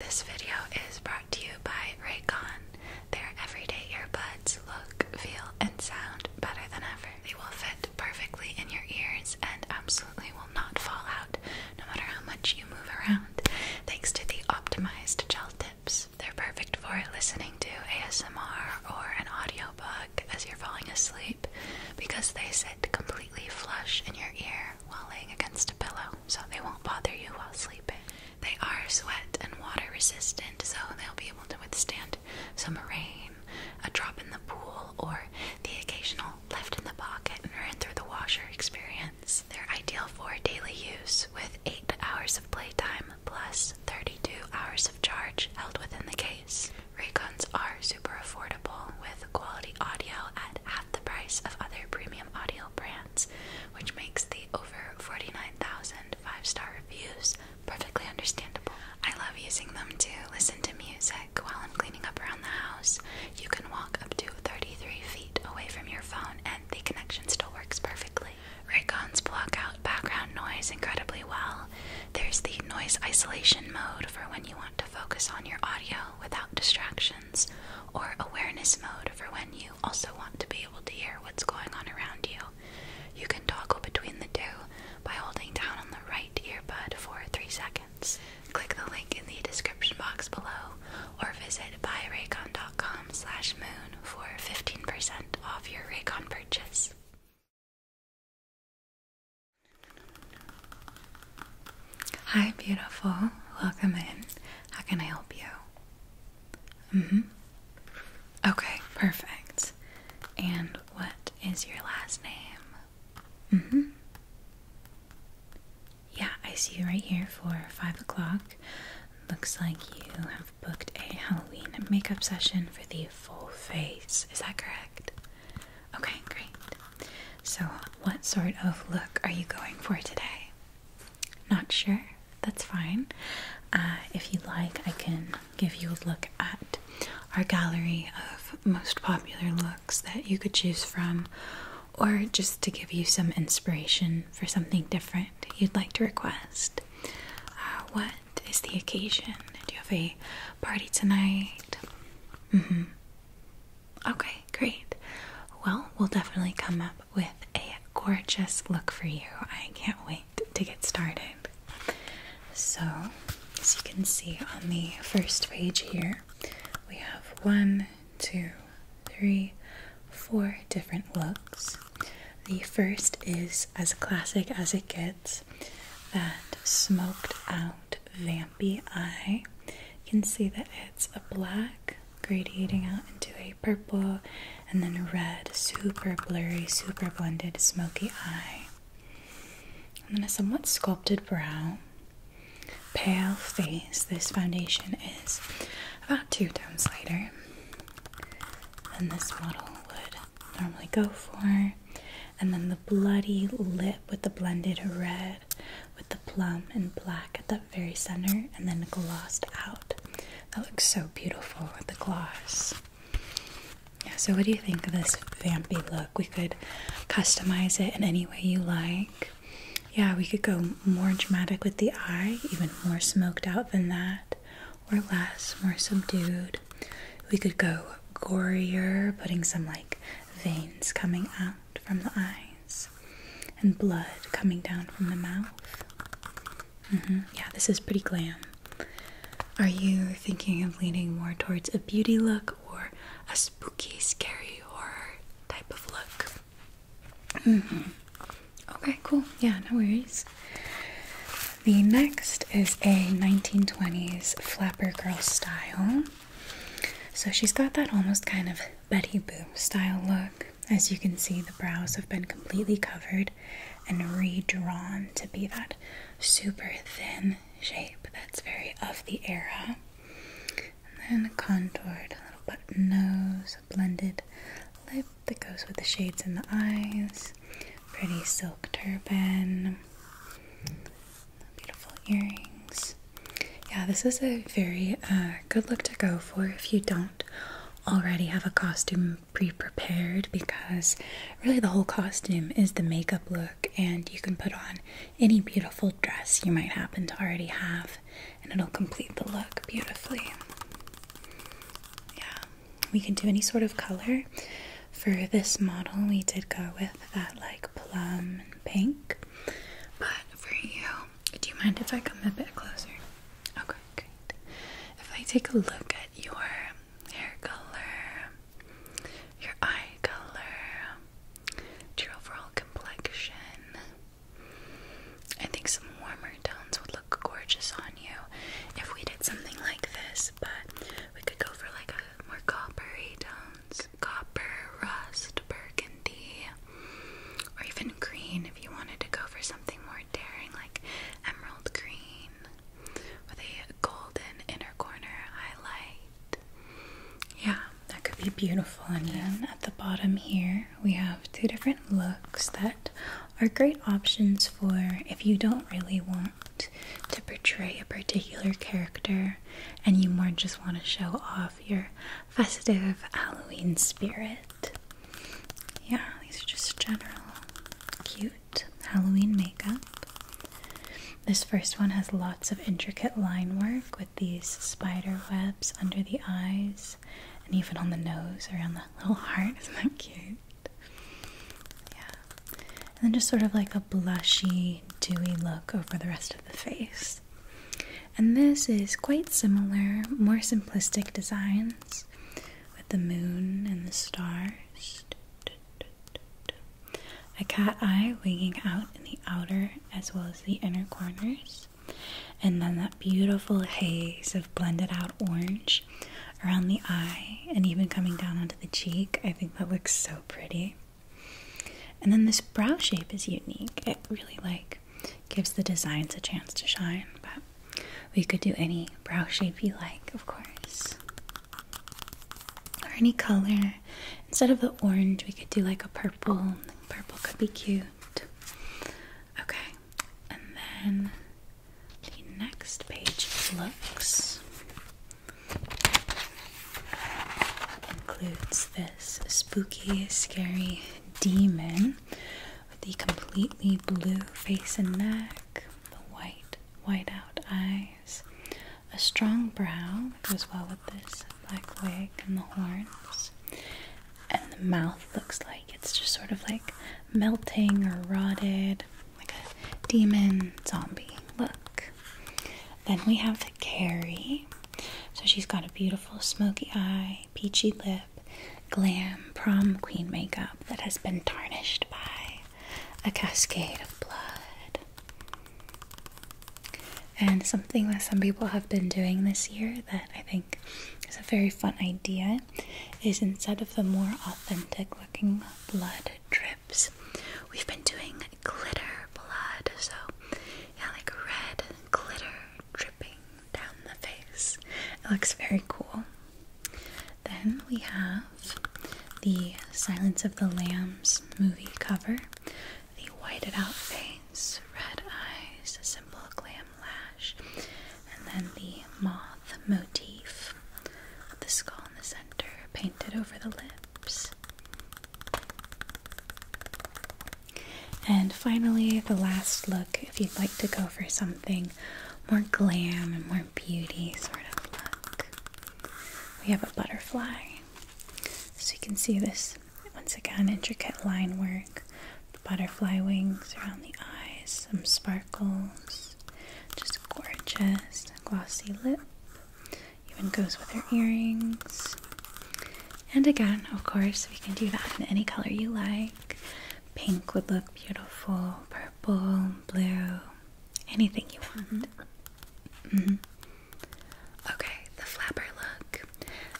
This video is brought to you by Raycon. Their everyday earbuds look, feel, and sound better than ever. They will fit perfectly in your ears and absolutely will not fall out no matter how much you move around, thanks to the optimized gel tips. They're perfect for listening to ASMR or an audiobook as you're falling asleep because they sit completely flush in your ear while laying against a pillow so they won't bother you while sleeping. They are sweat and water resistant, so they'll be able to withstand some rain, a drop in the pool, or the occasional left in the pocket and ran through the washer experience. They're ideal for daily use with 8 hours of playtime plus 32 hours of charge held within the case. Raycons are super affordable with quality audio at half the price of other premium audio brands which makes the over 49,000 five star reviews perfectly understandable. I love using them to listen to music while I'm cleaning up around the house. You can walk up to 33 feet away from your phone, and the connection still works perfectly. Raycons block out background noise incredibly well. There's the noise isolation mode for when you want to focus on your audio without distractions, or awareness mode for when you you also want to be able to hear what's going on around you. You can toggle between the two by holding down on the right earbud for 3 seconds. Click the link in the description box below or visit buyraycon.com slash moon for 15% off your Raycon purchase. Hi, beautiful. Welcome in. How can I help you? Mm hmm. Okay, perfect. And what is your last name? Mm hmm. Yeah, I see you right here for 5 o'clock. Looks like you have booked a Halloween makeup session for the full face. Is that correct? Okay, great. So, what sort of look are you going for today? Not sure? That's fine. Uh, if you like, I can give you a look at our gallery of most popular looks that you could choose from, or just to give you some inspiration for something different you'd like to request. Uh, what is the occasion? Do you have a party tonight? Mm hmm. Okay, great. Well, we'll definitely come up with a gorgeous look for you. I can't wait to get started. So, as you can see on the first page here, we have one, two, three, four different looks. The first is as classic as it gets that smoked out vampy eye. You can see that it's a black gradiating out into a purple and then a red, super blurry, super blended, smoky eye. And then a somewhat sculpted brow, pale face. This foundation is about two tones lighter than this model would normally go for. And then the bloody lip with the blended red, with the plum and black at the very center and then glossed out. That looks so beautiful with the gloss. Yeah, so what do you think of this vampy look? We could customize it in any way you like. Yeah, we could go more dramatic with the eye, even more smoked out than that, or less, more subdued. We could go gorier, putting some like veins coming out from the eye and blood coming down from the mouth. Mm-hmm. Yeah, this is pretty glam. Are you thinking of leaning more towards a beauty look or a spooky, scary horror type of look? Mm-hmm. Okay, cool. Yeah, no worries. The next is a 1920s flapper girl style. So she's got that almost kind of Betty Boop style look. As you can see, the brows have been completely covered and redrawn to be that super thin shape that's very of the era. And then contoured, little button nose, a blended lip that goes with the shades in the eyes, pretty silk turban, beautiful earrings. Yeah, this is a very uh, good luck to go for if you don't already have a costume pre prepared because really the whole costume is the makeup look, and you can put on any beautiful dress you might happen to already have, and it'll complete the look beautifully. Yeah, we can do any sort of color. For this model, we did go with that like plum and pink, but for you, do you mind if I come a bit closer? Okay, great. If I take a look at your hair color, your eye color, your overall complexion, I think some warmer tones would look gorgeous on you if we did something like this, but we could go for like a more coppery tones, copper, rust, burgundy. Or even green if you wanted to go for something more daring, like emerald green with a golden inner corner highlight. Yeah, that could be beautiful. And then at the bottom here, we have two different looks that are great options for if you don't really want to portray a particular character and you more just want to show off your festive Halloween spirit. Yeah, these are just general cute Halloween makeup. This first one has lots of intricate line work with these spider webs under the eyes and even on the nose around the little heart. Isn't that cute? Yeah. And then just sort of like a blushy, dewy look over the rest of the face. And this is quite similar, more simplistic designs with the moon and the stars. A cat eye winging out in the outer as well as the inner corners. And then that beautiful haze of blended out orange around the eye and even coming down onto the cheek. I think that looks so pretty. And then this brow shape is unique. It really like gives the designs a chance to shine, but we could do any brow shape you like, of course. Or any color. Instead of the orange, we could do like a purple. Purple could be cute. Okay, and then the next page looks includes this spooky, scary demon the completely blue face and neck, the white, white out eyes, a strong brow that goes well with this black wig and the horns, and the mouth looks like it's just sort of like melting or rotted, like a demon zombie look. Then we have the Carrie. So she's got a beautiful smoky eye, peachy lip, glam prom queen makeup that has been tarnished by a cascade of blood. And something that some people have been doing this year that I think is a very fun idea is instead of the more authentic looking blood drips, we've been doing glitter blood. So, yeah, like red glitter dripping down the face. It looks very cool. Then we have the Silence of the Lambs movie cover. The whited out face, red eyes, a simple glam lash, and then the moth motif with the skull in the center painted over the lips. And finally, the last look if you'd like to go for something more glam and more beauty sort of look. We have a butterfly. So you can see this once again intricate line work, butterfly wings around the eyes, some sparkles, just gorgeous, glossy lip. Even goes with her earrings. And again, of course, we can do that in any color you like. Pink would look beautiful, purple, blue, anything you want. Mm-hmm. Mm-hmm. Okay, the flapper look.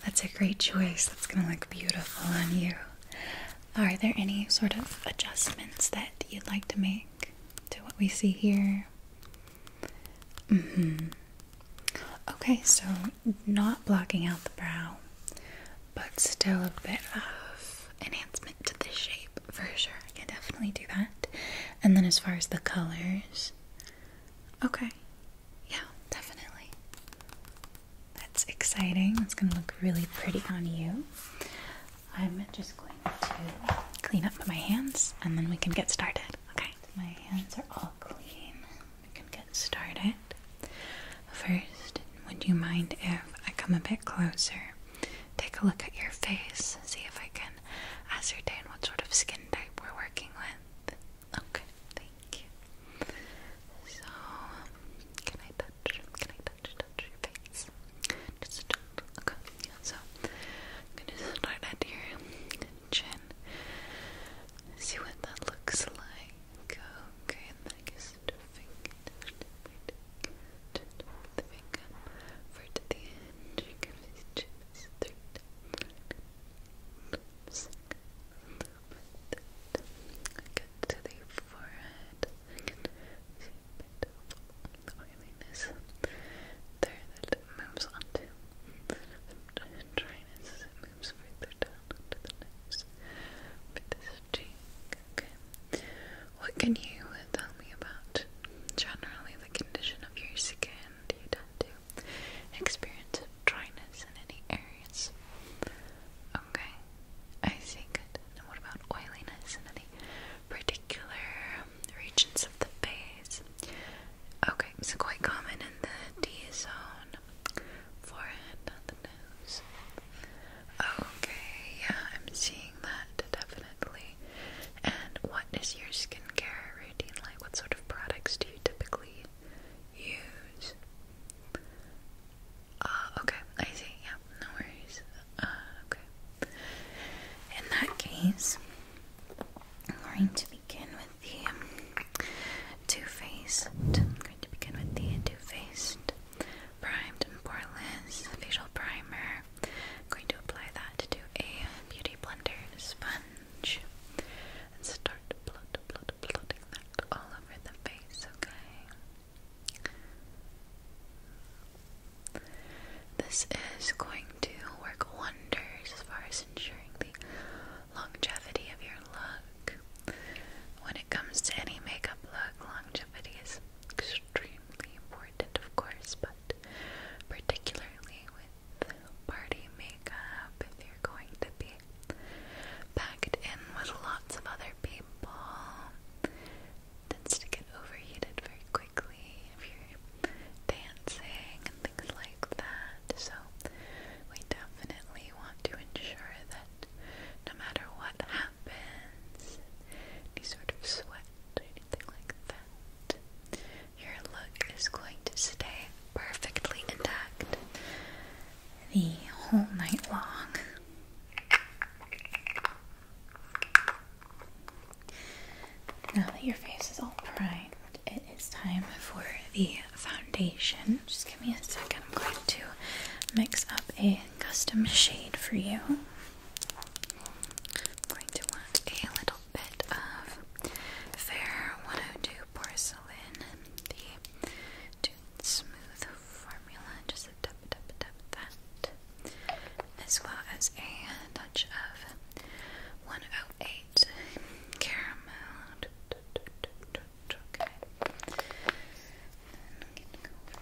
That's a great choice. That's gonna look beautiful on you. Are there any sort of adjustments that you'd like to make to what we see here? Mm-hmm. Okay, so not blocking out the brow, but still a bit of enhancement to the shape for sure. I can definitely do that. And then as far as the colors, okay, yeah, definitely. That's exciting. It's gonna look really pretty on you. I'm just going to clean up my hands and then we can get started. Okay, my hands are all clean. We can get started. First, would you mind if I come a bit closer, take a look at your face, see if I can ascertain what sort of skin type we're working with? Okay, thank you. So, can I touch? Can I touch? your face? Just okay. so, I'm gonna start at your chin. See what that looks like. Okay, and then I guess stuffing it with for to the end. You can see chips through Get to the forehead. see a oiliness there that moves onto. I'm trying what can you tell me about generally the condition of your skin? Do you tend to experience dryness in any areas? Okay, I see. Good. And what about oiliness in any particular regions of the face? Okay, so quite common in the D zone forehead, not the nose. Okay, yeah, I'm seeing that definitely. And what is your skincare routine like? What sort of products do you typically use? Uh, okay, I see, no worries. Uh, okay. In that case, I'm going to begin with the Too Faced. I'm going to begin with the Too Faced primed and poreless facial primer. going to apply that to a beauty blender sponge and start blot, blot, blotting that all over the face, okay? This is going to work wonders as far as ensuring the longevity of your look. When it comes to any makeup look, longevity is extremely important, of course, but particularly with party makeup, if you're going to be packed in with lots of other people, tends to get overheated very quickly if you're dancing and things like that. So, we definitely want to ensure that no matter what happens, any sort of sweat or anything like that, your look is going to stay perfectly intact the whole night long. Now that your face is all primed, it is time for the foundation. Just give me a second. I'm going to mix up a custom shade for you. going to want a little bit of Fair 102 Porcelain, the Smooth Formula. Just a tap, tap, tap that. As well as a touch of 108 Caramel okay. I'm gonna go for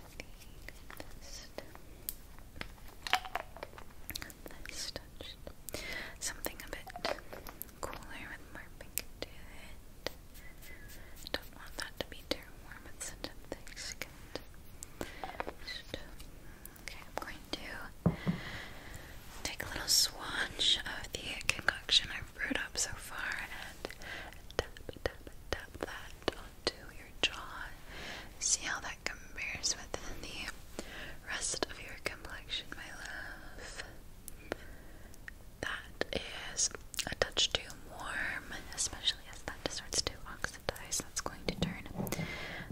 the list. Nice Something a bit cooler with more pink to it. Don't want that to be too warm. It's such thick skin. okay, I'm going to take a little swatch of the concoction I've brewed up so far and tap, that onto your jaw. See how that compares with the rest of your complexion, my love. That is a touch too warm, especially as that starts to oxidize. That's going to turn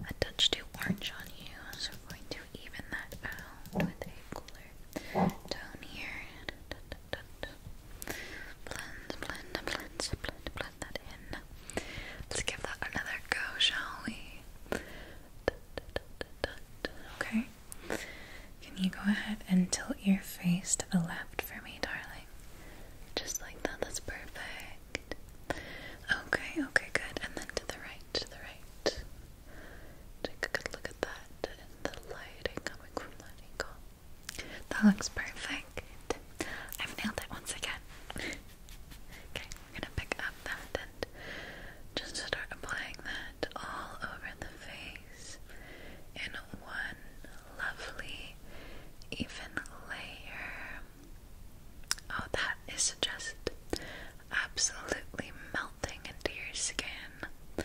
a touch too orange on you. So we're going to even that out with a cooler tone here. Blend, blend, blend, blend, blend that in. Let's give that another go, shall we? Okay. Can you go ahead and tilt your face to the left for me, darling? Just like that, that's perfect. Okay, okay, good. And then to the right, to the right. Take a good look at that and the lighting coming from that angle. That looks perfect. I've nailed it once again. okay, we're gonna pick up that and just start applying that all over the face in one lovely, even layer. Oh, that is just absolutely melting into your skin.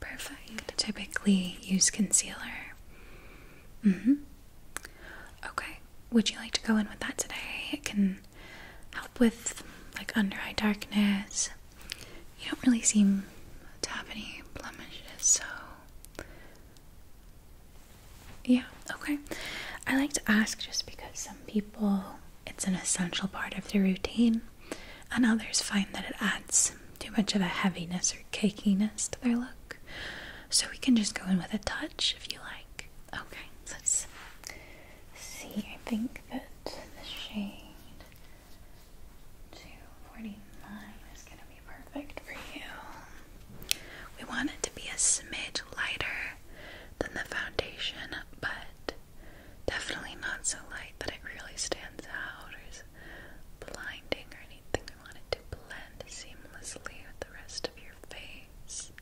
Perfect. Typically use concealer. Mm-hmm. Okay. Would you like to go in with that today? It can help with like under eye darkness. You don't really seem to have any blemishes, so yeah, okay. I like to ask just because some people it's an essential part of their routine, and others find that it adds too much of a heaviness or cakeiness to their look. So we can just go in with a touch if you like. Okay, let's see. I think that the shade 249 is going to be perfect for you. We want it to be a smidge lighter than the foundation, but definitely not so light that it really stands out or is blinding or anything. We want it to blend seamlessly with the rest of your face.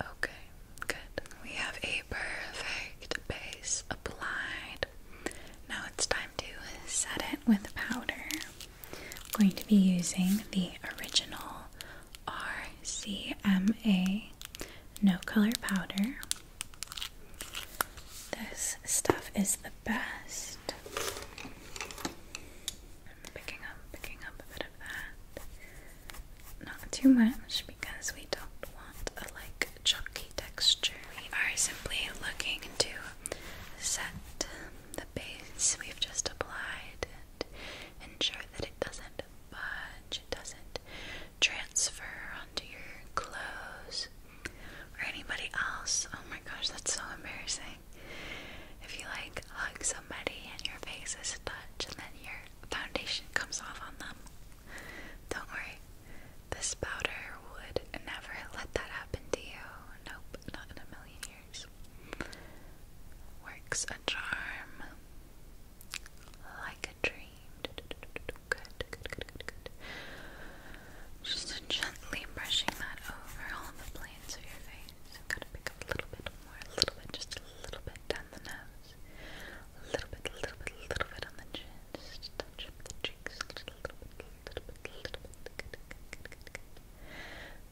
Okay, good. We have a perfect base applied. Now it's time to set it with powder. I'm going to be using the original RCMA no color powder. This stuff is the best. I'm picking up, picking up a bit of that. Not too much because we don't want a like chunky texture. We are simply looking to set the base we've just applied and ensure that it doesn't budge, doesn't transfer onto your clothes or anybody else. Oh my gosh, that's so embarrassing. If you like hug somebody and your face is touched and then your foundation comes off on them, don't worry. This powder would never let that happen to you. Nope, not in a million years. Works a charm like a dream. Good, good, good, good, good. Just gently brushing that over all the planes of your face. I'm gonna pick up a little bit more, a little bit, just a little bit down the nose, a little bit, a little bit, a little bit on the chin,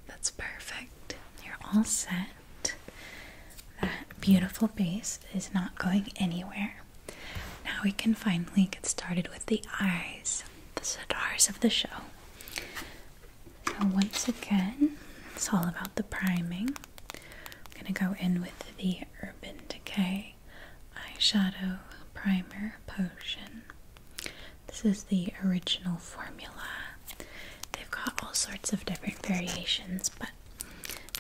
that's perfect. You're all set. That beautiful base is not going anywhere. Now we can finally get started with the eyes, the stars of the show. So, once again, it's all about the priming. I'm going to go in with the Urban Decay eyeshadow primer potion. This is the original formula. They've got all sorts of different variations, but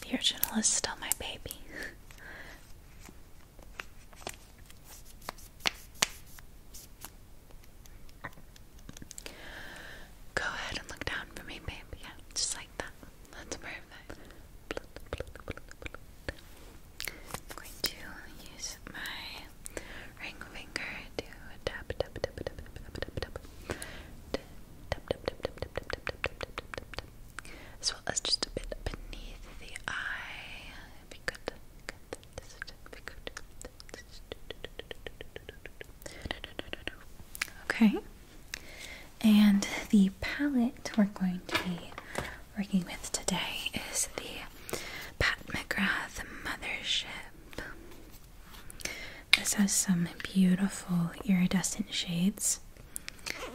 the original is still my baby. Go ahead and look down for me, babe. Yeah, just like that. That's perfect. I'm going to use my ring finger to tap, tap, tap, tap, tap, tap, tap, tap, tap, tap, tap, tap, tap, tap, tap, tap, tap, tap, tap, as well as just a bit beneath the eye. If you could, this would be good. Okay, and the palette we're going to be working with today is the Pat McGrath Mothership. This has some beautiful iridescent shades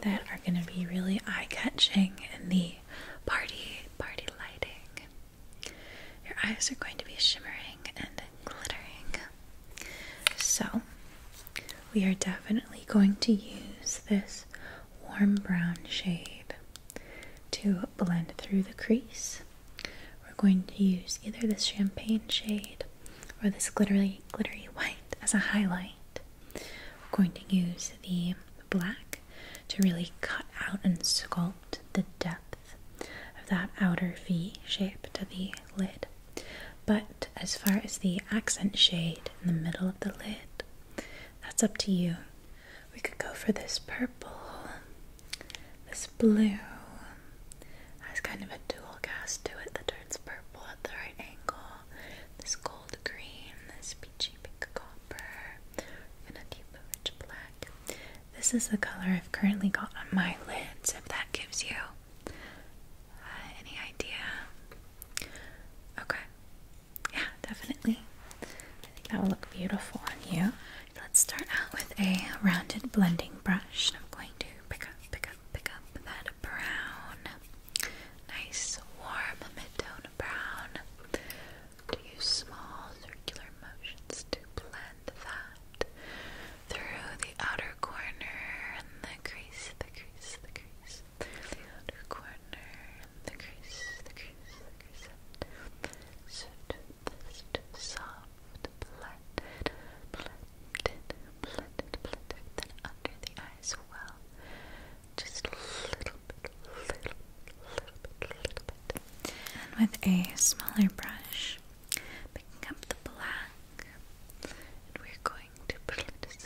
that are going to be really eye-catching in the party party lighting. Your eyes are going to be shimmering and glittering. So, we are definitely going to use this warm brown shade to blend through the crease. We're going to use either this champagne shade or this glittery glittery white as a highlight. We're going to use the black to really cut out and sculpt the depth of that outer V shape to the lid. But as far as the accent shade in the middle of the lid, that's up to you. We could go for this purple, this blue. Has kind of a dual cast to it that turns purple at the right angle. This gold green, this peachy pink copper, and a deep rich black. This is the color I've currently got on my lids. If that gives you uh, any idea. Okay. Yeah, definitely. I think that will look beautiful on you. Let's start out with a rounded blending brush. I'm going to pick up, pick up, pick up that brown. Nice, warm, mid-tone brown. To use small circular motions to blend that through the outer corner and the crease, the crease, the crease, the outer corner the crease, the crease, the crease. Soft, soft, blended, blended, blended, blended. Then under the eye well. Just a little bit, little, little bit, little bit. And with a smaller brush, picking up the black, and we're going to blend it.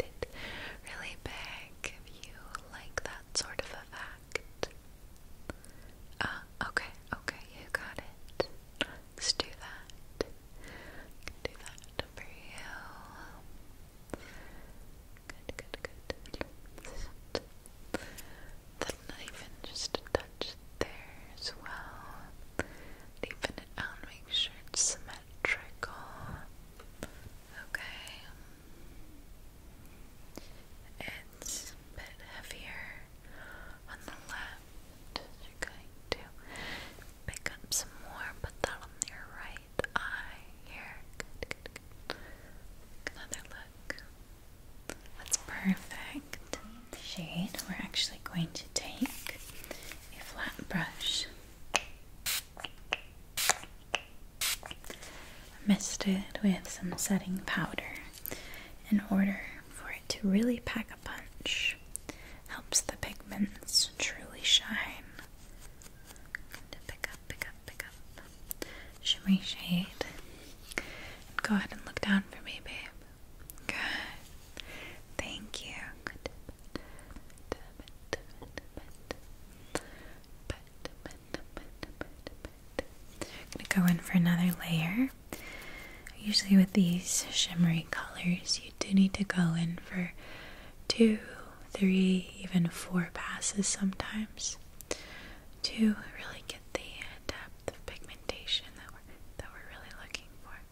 sent really big if you like that sort of effect. Ah, okay, okay, you got it. Let's do that. do that for you. Good, good, good. Then even just a touch there as well. Deepen it out, make sure symmetrical. Okay. It's a bit heavier on the left. going to pick up some more, put that on your right eye here. Good, good, good. Another look. That's perfect. shade we're actually going to take a flat brush Mist it with some setting powder in order for it to really pack a punch. Helps the pigments truly shine. pick up, pick up, pick up. Shimmery shade. go ahead and look down for me, babe. Good. Thank you. I'm going to go in for another layer. Usually, with these shimmery colors, you do need to go in for two, three, even four passes sometimes to really get the depth of pigmentation that we're, that we're really looking for.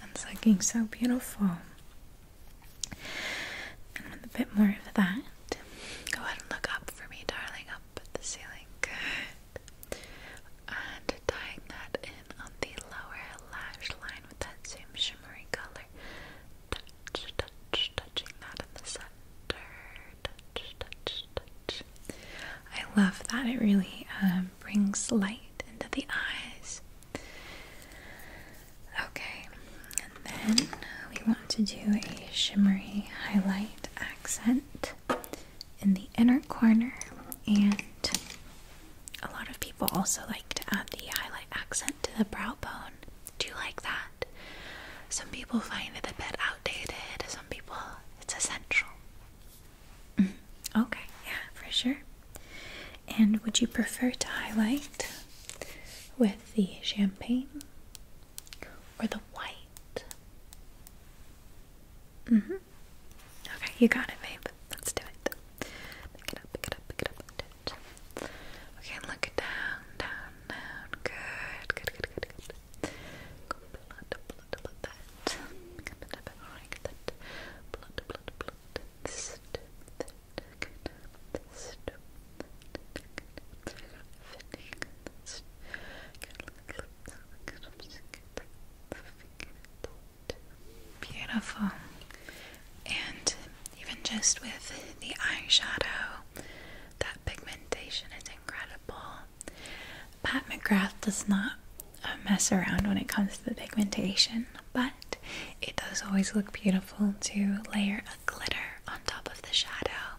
That's looking so beautiful. a bit more of that, go ahead and look up for me, darling. Up at the ceiling. Good. And tying that in on the lower lash line with that same shimmery color. Touch, touch, touching that in the center. Touch, touch, touch. I love that. It really um, brings light into the eyes. Okay, and then we want to do a shimmery highlight accent in the inner corner, and a lot of people also like to add the highlight accent to the brow bone. Do you like that? Some people find it a bit outdated, some people it's essential. Mm-hmm. Okay, yeah, for sure. And would you prefer to highlight with the champagne or the white? Mm-hmm. Okay, you got it, babe. Let's do it. Pick it up, pick it up, pick it up. Okay, and look down, down, down. Good, good, good, good, good. blood, blood, blood, that. that. Blood, blood, blood. Beautiful. And even just with the eyeshadow, that pigmentation is incredible. Pat McGrath does not mess around when it comes to the pigmentation, but it does always look beautiful to layer a glitter on top of the shadow.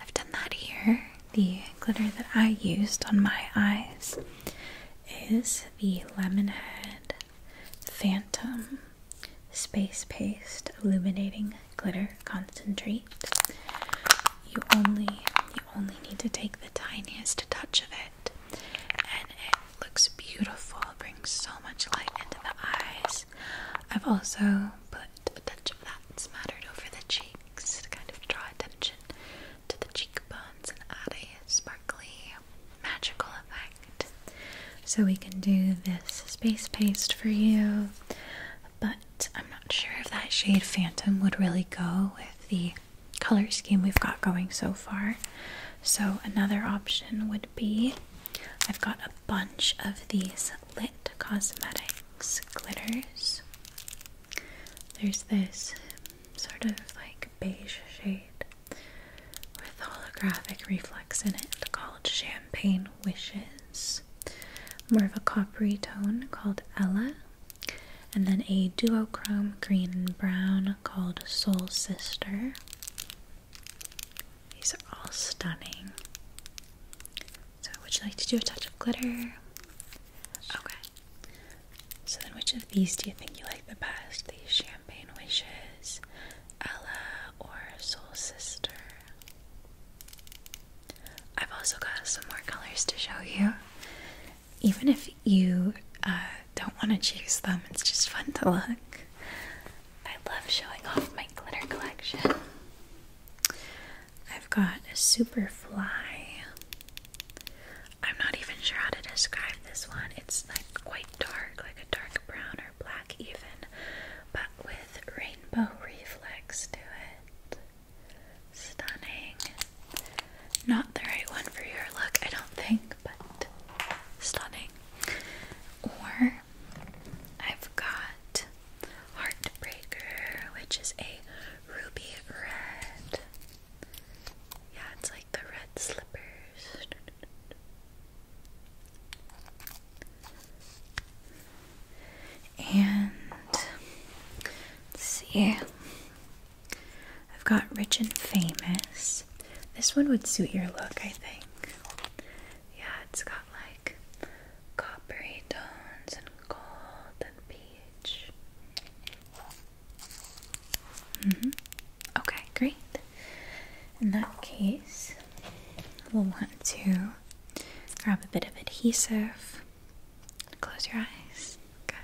I've done that here. The glitter that I used on my eyes is the Lemonhead Phantom Space Paste Illuminating Glitter Concentrate. You only you only need to take the tiniest touch of it and it looks beautiful. brings so much light into the eyes. I've also put a touch of that smattered over the cheeks to kind of draw attention to the cheekbones and add a sparkly, magical effect. So we can do this space paste for you, but I'm not sure if that shade Phantom would really go with the color scheme we've got going so far. So, another option would be I've got a bunch of these Lit Cosmetics glitters. There's this sort of like beige shade with holographic reflex in it called Champagne Wishes. More of a coppery tone called Ella. And then a duochrome green and brown called Soul Sister. These are all stunning. So, would you like to do a touch of glitter? Okay. So, then which of these do you think you like the best? The Champagne Wishes, Ella, or Soul Sister? I've also got some more colors to show you even if you uh, don't want to choose them, it's just fun to look. I love showing off my glitter collection. I've got a super fly. I'm not even sure how to describe this one. It's like quite dark, like a dark brown or black, even, but with rainbow reflex to it. Stunning. Not the right one for your look, I don't think but stunning. Or I've got Heartbreaker, which is a ruby red. Yeah, it's like the red slippers. And see, I've got Rich and Famous. This one would suit your look, I think. Yeah, it's got like coppery tones and gold and peach. Mm-hmm. Okay, great. In that case, we'll want to grab a bit of adhesive. Close your eyes. Good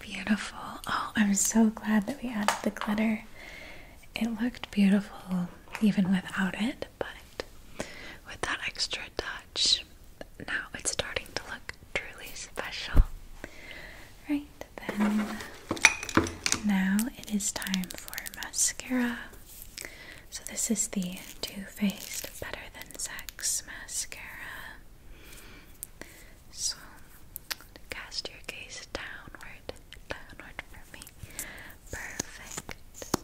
Beautiful. Oh, I'm so glad that we added the glitter. It looked beautiful even without it, but with that extra touch, now it's starting to look truly special. Right? then now it is time for mascara. So, this is the Too Faced Better Than Sex mascara. So, cast your gaze downward, downward for me. Perfect.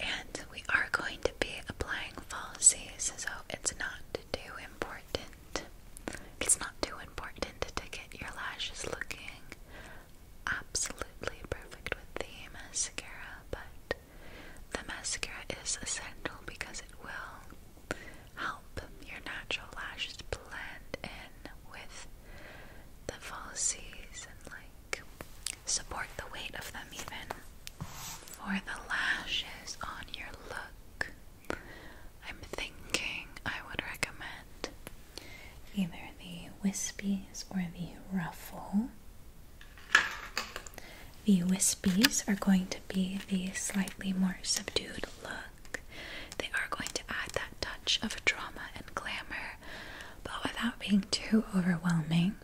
And we are going to be applying falsies, so it's not too important it's not too important to get your lashes looking absolutely perfect with the mascara, but the mascara is essential because it will help your natural lashes blend in with the falsies and like support the weight of them even. For the lashes on your look, I'm thinking I would recommend either the Wispies or the Ruffle. The Wispies are going to be the slightly more subdued look. They are going to add that touch of drama and glamour, but without being too overwhelming.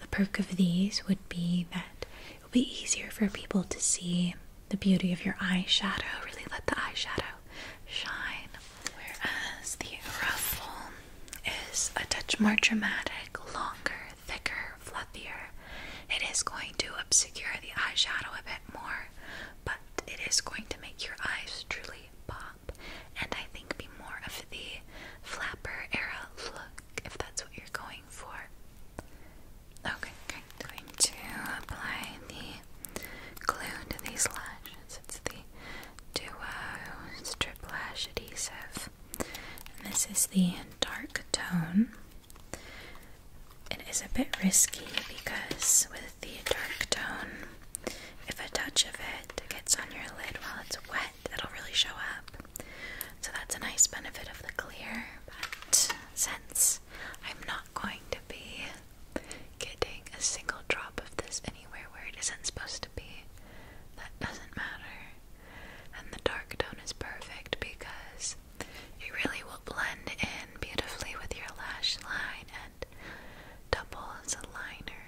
The perk of these would be that it'll be easier for people to see the beauty of your eyeshadow. Really let the eyeshadow shine. Whereas the ruffle is a touch more dramatic, longer, thicker, fluffier. It is going to obscure the eyeshadow a bit more, but it is going to make your eyes truly pop and I think be more of the flapper era look if that's what you're going going Okay, I'm going to apply the glue to these lashes. It's the Duo Strip Lash Adhesive. this is the dark tone. It is a bit risky because with the dark tone, if a touch of it gets on your lid while it's wet, it'll really show up. So that's a nice benefit of the clear but since I'm not going to be getting a single drop of this anywhere where it isn't supposed to be, that doesn't matter. And the dark tone is perfect because it really will blend in beautifully with your lash line and double as a liner,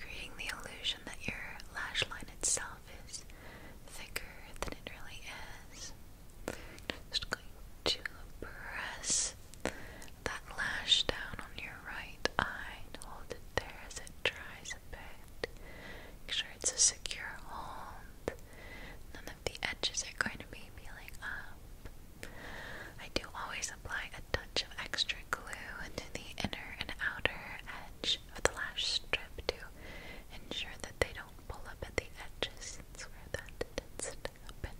creating the illusion that your lash line itself is thicker than it really is. Just going to press that lash down on your right eye and hold it there as it dries a bit. Make sure it's a secure hold. None of the edges are going to be peeling up. I do always apply a touch of extra glue into the inner and outer edge of the lash strip to Ensure that they don't pull up at the edges. That's where that tends to happen.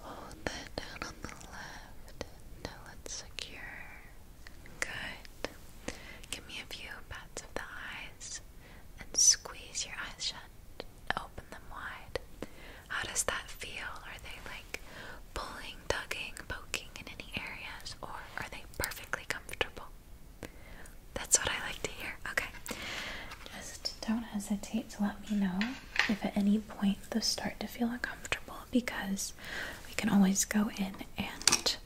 Hold that down on the left. Now let's secure. Good. Give me a few pats of the eyes and squeeze your eyes shut. Open them wide. How does that feel? Are they like pulling, tugging, poking in any areas, or are they perfectly comfortable? That's what I like to hear. Okay. Just don't hesitate to let me know if at any point those start to feel uncomfortable because we can always go in and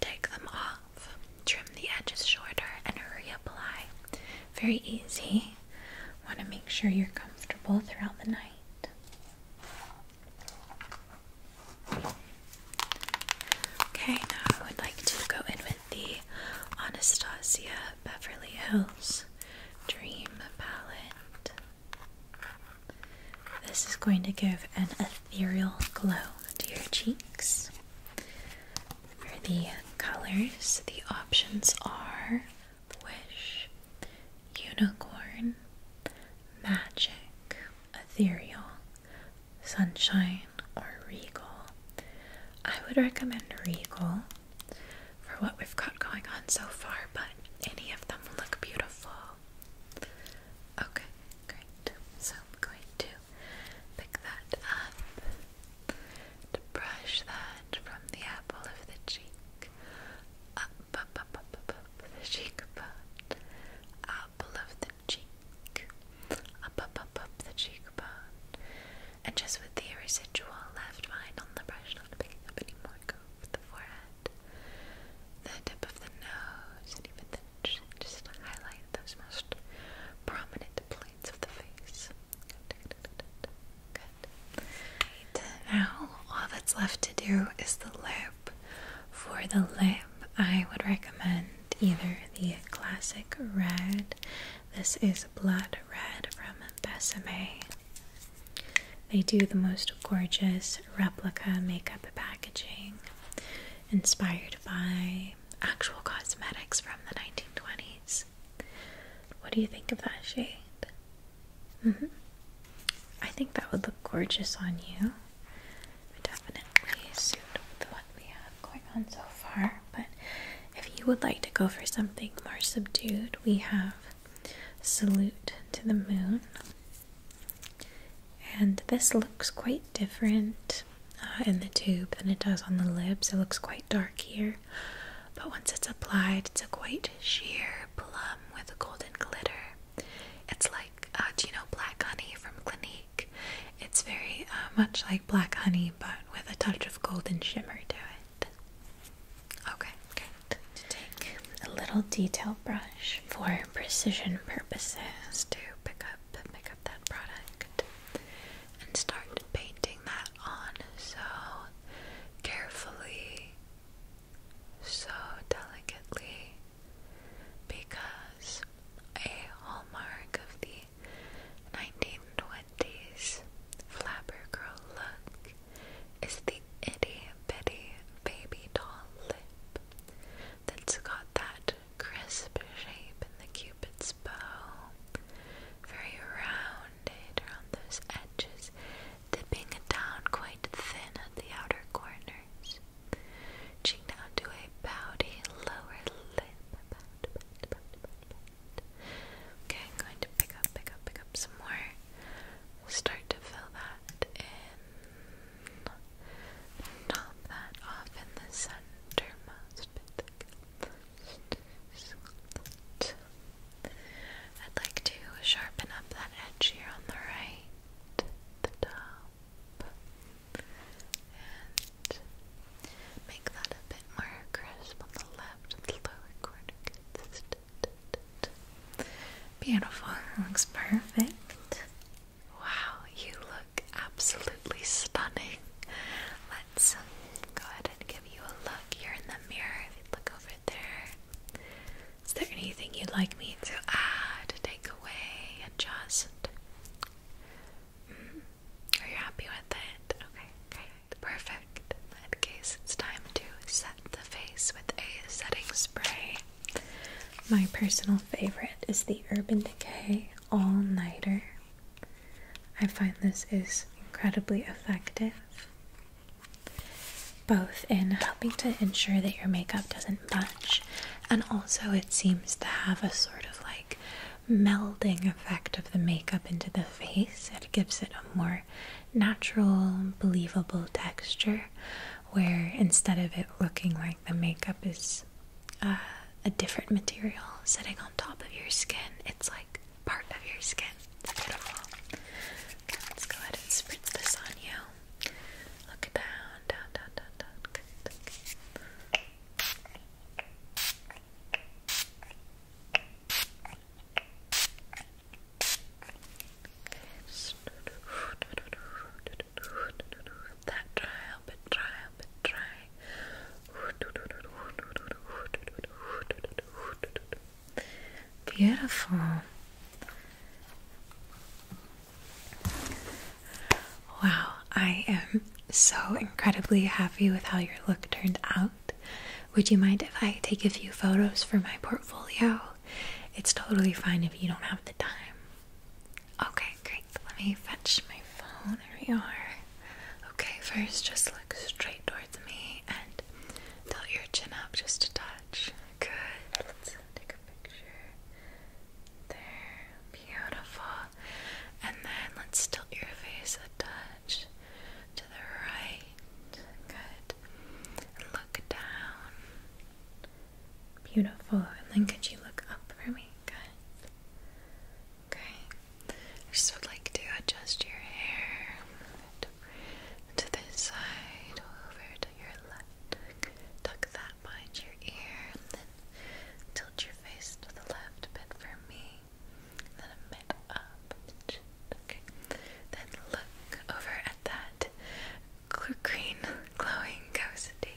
take them off, trim the edges shorter, and reapply. Very easy. Want to make sure you're comfortable throughout the night. Okay, now I would like to go in with the Anastasia Beverly Hills Dream Palette. This is going to give an ethereal glow to your cheeks. For the colors, the options are Wish, Unicorn, Magic, Ethereal, Sunshine, or Regal. I would recommend Regal for what we've got going on so far, but any of them will look beautiful. Okay, great. So I'm going to pick that up, to brush that from the apple of the cheek, up, up, up, up, up, up the cheekbone, out top the cheek, up, up, up, up the cheekbone, and just with the residual left behind on the brush, not picking up any go for the forehead, the tip of the nose, and even then just, just highlight those most prominent plates of the face. good, good. Now all that's left to do is the lip. For the lip, I would recommend either the classic red. This is blood red from Besame. They do the most gorgeous replica makeup packaging inspired by actual cosmetics from the 1920s. What do you think of that shade? -hmm. I think that would look gorgeous on you definitely suit with what we have going on so far. But if you would like to go for something more subdued, we have Salute to the Moon. And this looks quite different uh, in the tube than it does on the lips. It looks quite dark here, but once it's applied, it's a quite sheer plum with a golden glitter. It's like, uh, you know Black Honey from Clinique? It's very uh, much like Black Honey, but with a touch of golden shimmer to it. Okay, To take a little detail brush for precision purposes to pick up, pick up that product, and start painting that on so carefully, so delicately because a hallmark of the 1920s flapper girl look is the itty bitty baby doll lip that's got that crisp shape in the cupid's bow. Very rounded around those edges, dipping down quite thin at the outer corners corners. Cheek down to a pouty lower lip. Okay, I'm going to pick up, pick up, pick up some more. Start to fill that in. Top that off in the centermost bit. I'd like to sharpen up that edge here on the right, the top, and make that a bit more crisp on the left the lower corner beautiful, looks perfect wow, you look absolutely stunning let's um, go ahead and give you a look here in the mirror if you look over there is there anything you'd like me to add, take away, adjust? Mm. Are you happy with it? Okay, Perfect. In case, it's time to set the face with a setting spray. My personal favorite is the Urban Decay All Nighter. I find this is incredibly effective, both in helping to ensure that your makeup doesn't bun and also, it seems to have a sort of like melding effect of the makeup into the face. It gives it a more natural, believable texture where instead of it looking like the makeup is uh, a different material sitting on top of your skin, it's like part of your skin. It's beautiful. let's go ahead and spritz this on you. Look down, down, down, down, down. That dry, help it dry, help it dry. Beautiful. Wow, I am so incredibly happy with how your look turned out. Would you mind if I take a few photos for my portfolio? It's totally fine if you don't have the time. Okay, great. Let me fetch my phone. There we are. Okay, first just look straight towards me and tilt your chin up just a touch. Good. Let's take a picture. There. Beautiful. And then let's tilt your face a touch to the right. Good. And look down. Beautiful. And then could you look up for me? Good. Okay. just would like to adjust your hair to this side, over to your left. Tuck that behind your ear, Tilt your face to the left a bit for me. then a bit up. Okay. Then look over at that green glowing ghosty.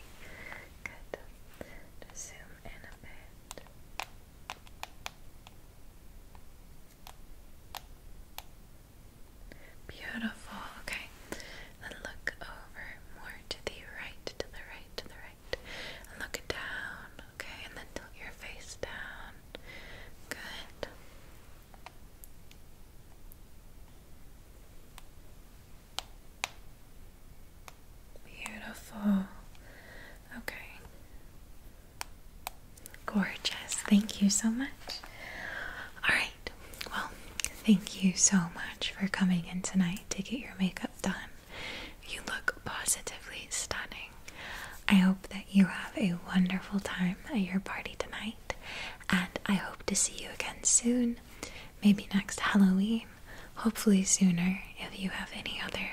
Good. zoom in a bit. Beautiful. Okay. Then look over more to the right, to the right, to the right. And look it down. Okay, and then tilt your face down. Good. Beautiful. Okay. Gorgeous. Thank you so much. All right. Well, thank you so much for coming in tonight to get your makeup done. You look positively stunning. I hope that you have a wonderful time at your party tonight, and I hope to see you again soon. Maybe next Halloween, hopefully sooner if you have any other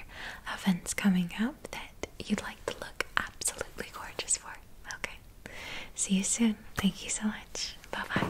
events coming up that you'd like to look absolutely gorgeous for. Okay. See you soon. Thank you so much. Bye bye.